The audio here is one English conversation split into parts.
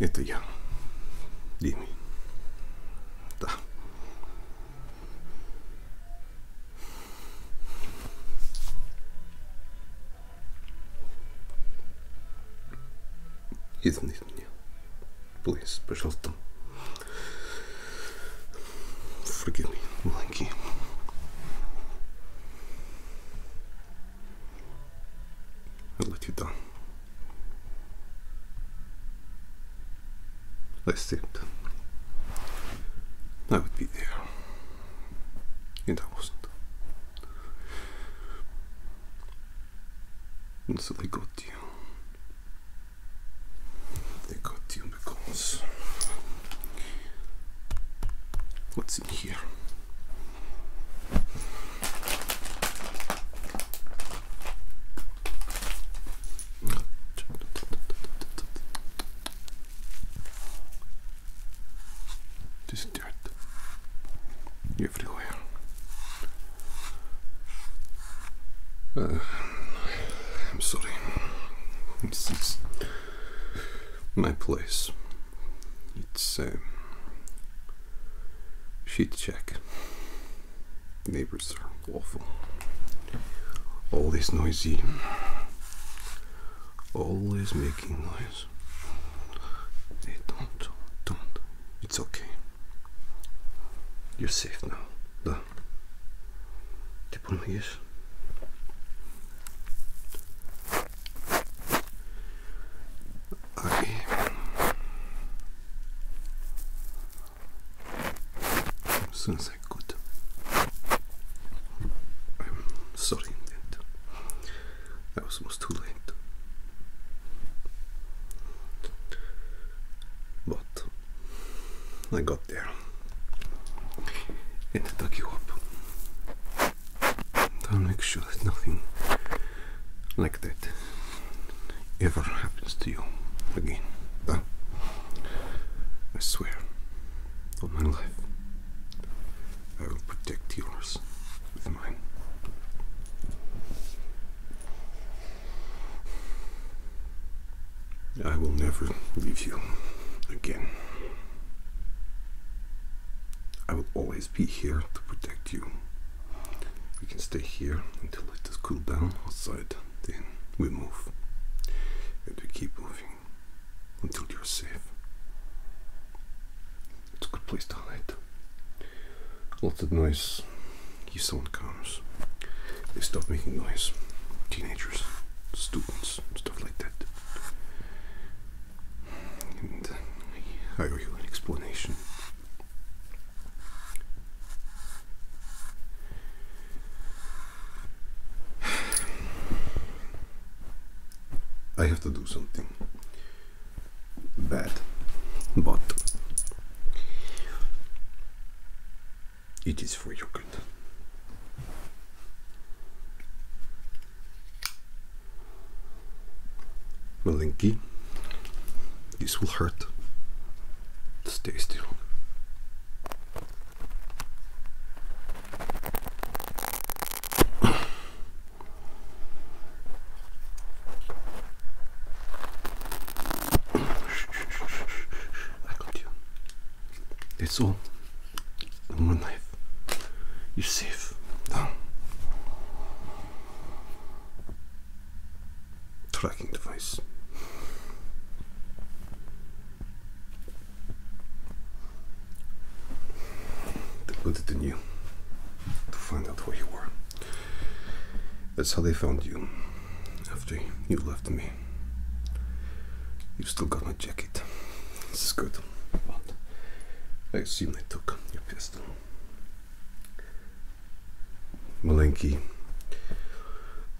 Это я. Дими. Да. Извините меня. Please, пожалуйста. Forgive me, Ланки. Eller titta. Let's see. it. That would be there. And that wasn't. And so they got you. They got you because what's in here? Just dirt everywhere. Uh, I'm sorry. It's, it's my place. It's a uh, sheet check. neighbors are awful. Always noisy. Always making noise. They don't, don't. It's okay. You're safe now. Да. Ты помогаешь? Okay. As soon as I could. I'm sorry that that was almost too late. But I got there and dug you up. I'll make sure that nothing like that ever happens to you again. I swear on my life, I will protect yours with mine. I will never leave you again. I will always be here to protect you. We can stay here until it it is cool down outside, then we move. And we keep moving until you're safe. It's a good place to hide. Lots of noise. If someone comes, they stop making noise. Teenagers, students, stuff like that. Uh, I owe you an explanation. I have to do something bad, but it is for your good. Malinki. This will hurt. Stay still. I got you. It's all. One knife. You're safe. Now, tracking device. They put it in you to find out where you were. That's how they found you after you left me. You've still got my jacket. This is good. But I assume they took your piss. Malenki,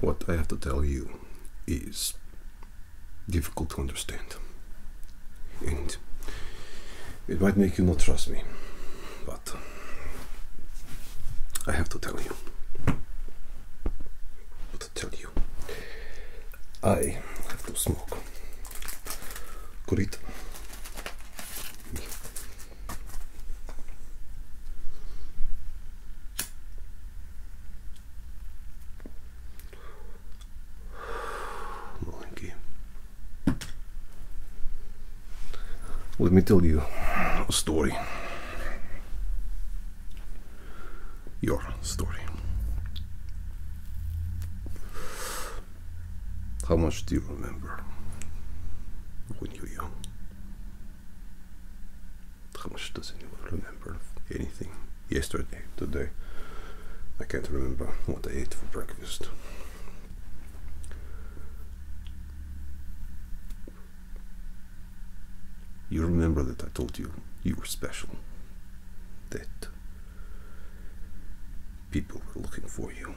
what I have to tell you is difficult to understand. And it might make you not trust me, but I have to tell you. To tell you, I have to smoke. Good Маленький. Let me tell you a story. Your story. How much do you remember when you were young? How much does anyone remember anything? Yesterday, today. I can't remember what I ate for breakfast. You remember that I told you you were special. That People were looking for you.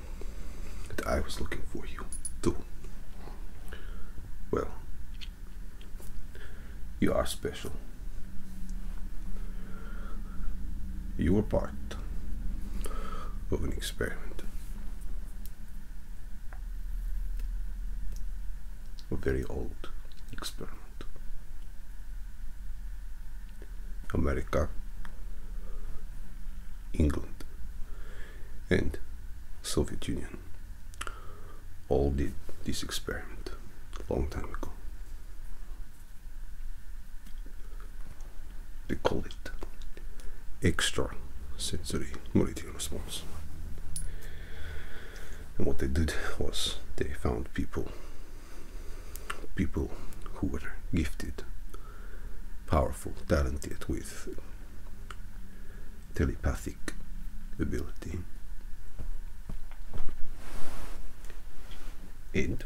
And I was looking for you, too. Well, you are special. You were part of an experiment. A very old experiment. America, England, and Soviet Union all did this experiment a long time ago. They called it extra sensory motor response. And what they did was they found people people who were gifted, powerful, talented with telepathic ability. And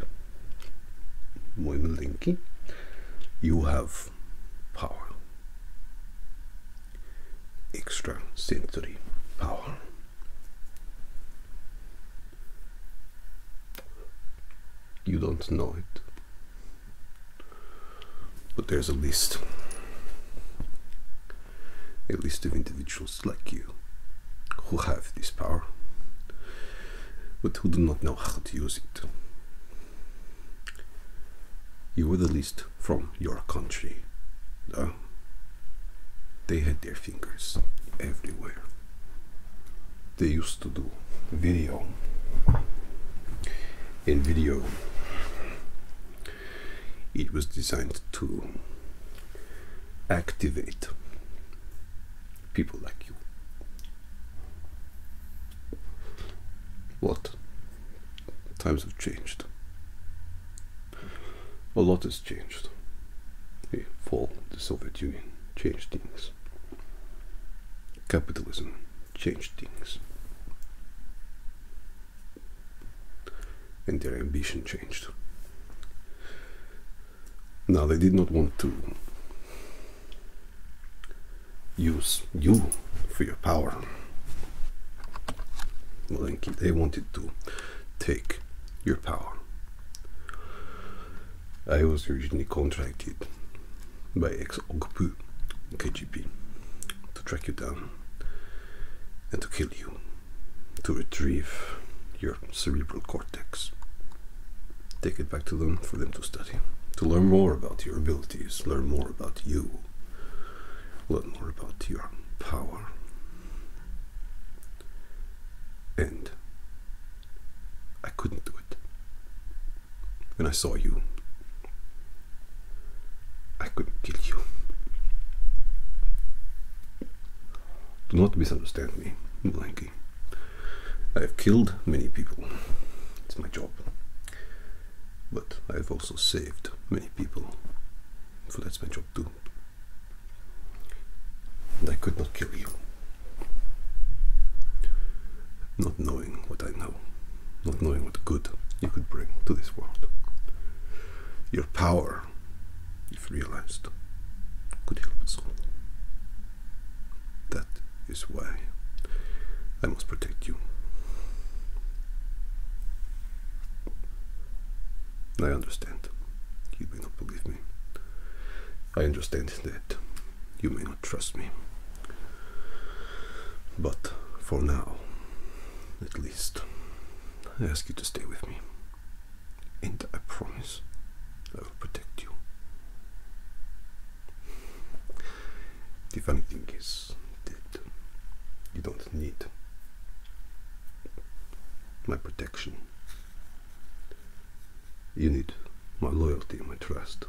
muy you have power, extra sensory power. You don't know it. But there's a list. A list of individuals like you who have this power, but who do not know how to use it. You were the least from your country, They had their fingers everywhere. They used to do video. In video, it was designed to activate people like you. What? Times have changed. A lot has changed. for the Soviet Union changed things. Capitalism changed things. And their ambition changed. Now they did not want to use you for your power. They wanted to take your power. I was originally contracted by ex Ogpu KGB to track you down and to kill you, to retrieve your cerebral cortex. Take it back to them for them to study, to learn more about your abilities, learn more about you, learn more about your power. And I couldn't do it. When I saw you, I couldn't kill you. Do not misunderstand me, Blanky. I have killed many people. It's my job. But I have also saved many people. So that's my job too. And I could not kill you. Not knowing what I know, not knowing what good you could bring to this world. Your power, if realized, could help us all. That is why I must protect you. I understand. You may not believe me. I understand that you may not trust me. But for now, at least, I ask you to stay with me. And I promise I will protect you. The funny thing is that you don't need my protection you need my loyalty my trust.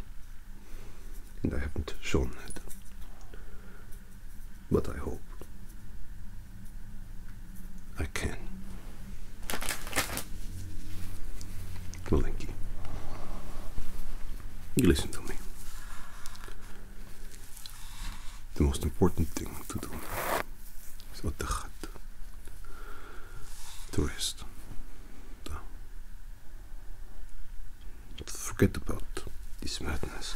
And I haven't shown that. But I hope I can. Malenki, you listen to me. The most important thing to do is Ottachat. To tourist. Forget about this madness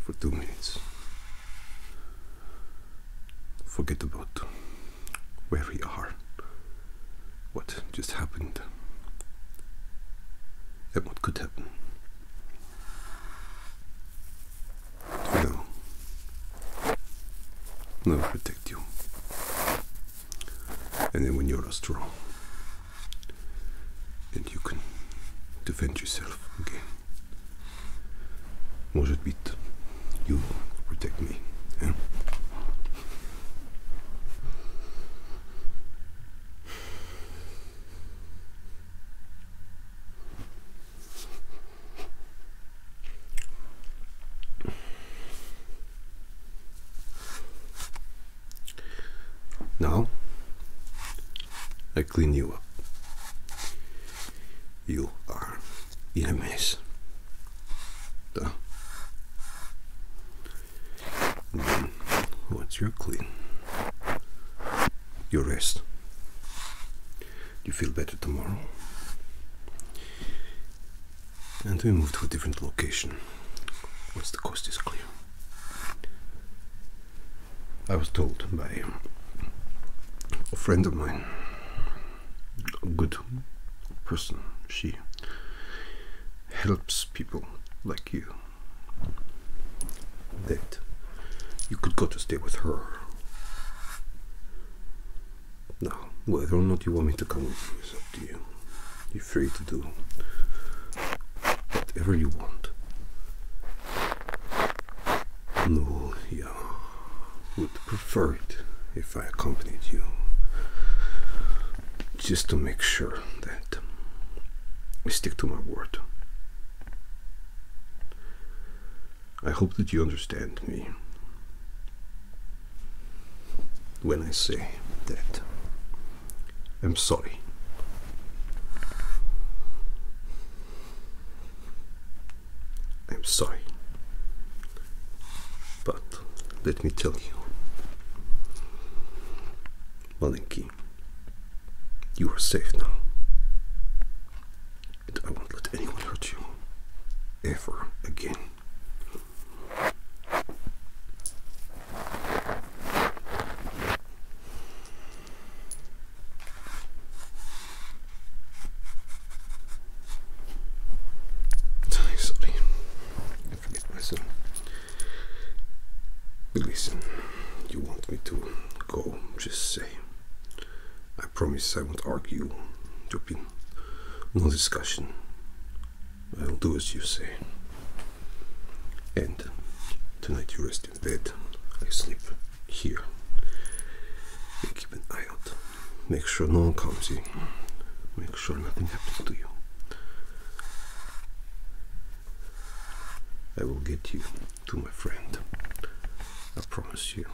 for two minutes. Forget about where we are, what just happened, and what could happen. No. They'll protect you. And then when you're strong and you can defend yourself again. Может быть, you protect me. Now, I clean you up. You are in a mess. Duh. Then, once you're clean, you rest you feel better tomorrow. And we move to a different location once the coast is clear. I was told by a friend of mine, a good person, she helps people like you, that you could go to stay with her now, whether or not you want me to come with you is up to you. You're free to do whatever you want. No, I would prefer it if I accompanied you. Just to make sure that we stick to my word. I hope that you understand me when I say that. I'm sorry. I'm sorry. But let me tell you, Malenki, you are safe now. I won't let anyone hurt you ever again. Sorry, I forget myself. Listen, you want me to go? Just say. I promise I won't argue. You've no discussion. I'll do as you say. And tonight you rest in bed. I sleep here. keep an eye out. Make sure no one comes in. Make sure nothing happens to you. I will get you to my friend. I promise you,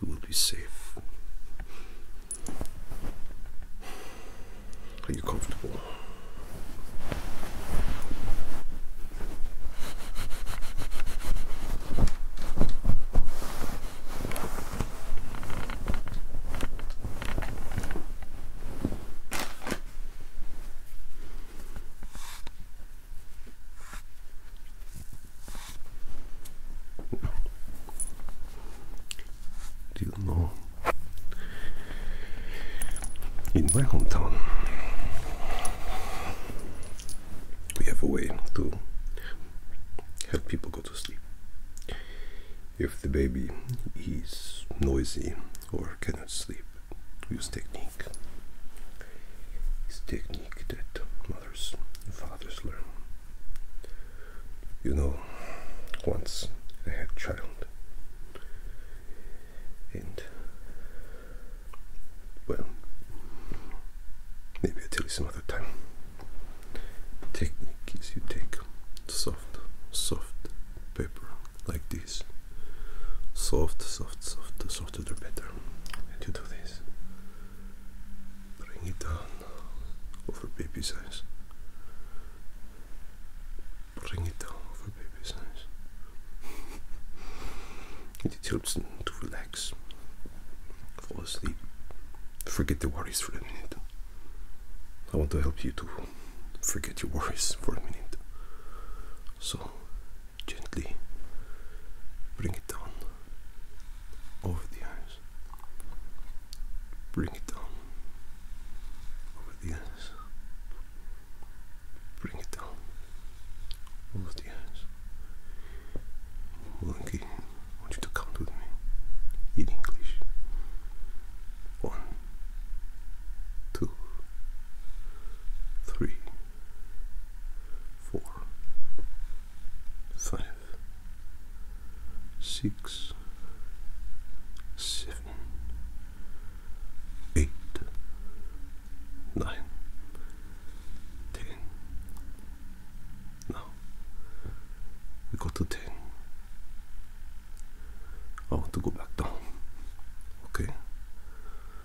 you will be safe. Are you comfortable? Do you know? In my hometown, we have a way to help people go to sleep. If the baby is noisy or cannot sleep, use technique. It's technique that mothers and fathers learn. You know, once I had a child, and well, maybe I'll tell you some other time. Technique is you take soft, soft paper like this. Soft, soft, soft, the softer the better. And you do this. Bring it down over baby size. Bring it down over baby size. it helps them to relax, fall asleep, forget the worries for a minute. I want to help you to forget your worries for a minute. So gently bring it down over the eyes. Bring it down over the eyes. Bring it down over the eyes. Monkey, I want you to count with me in English. One, two, three four, five, six, seven, eight, nine, ten. Now we got to ten. I want to go back down. Okay.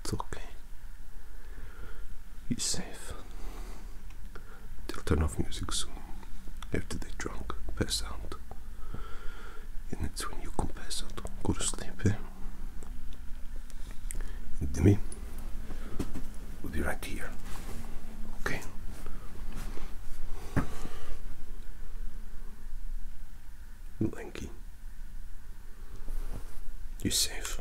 It's okay. He's safe. They'll turn off music soon after they drunk, pass out. And it's when you can pass out, go to sleep, eh? And Demi, we'll be right here. Okay? Lanky. You're safe.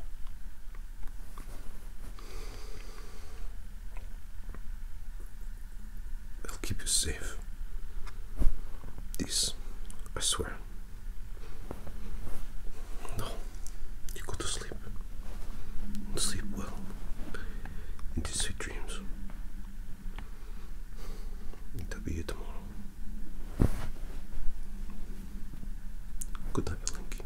I'll keep you safe. This, I swear. No, you go to sleep. Sleep well. In these sweet dreams. It'll be you tomorrow. Good type of link.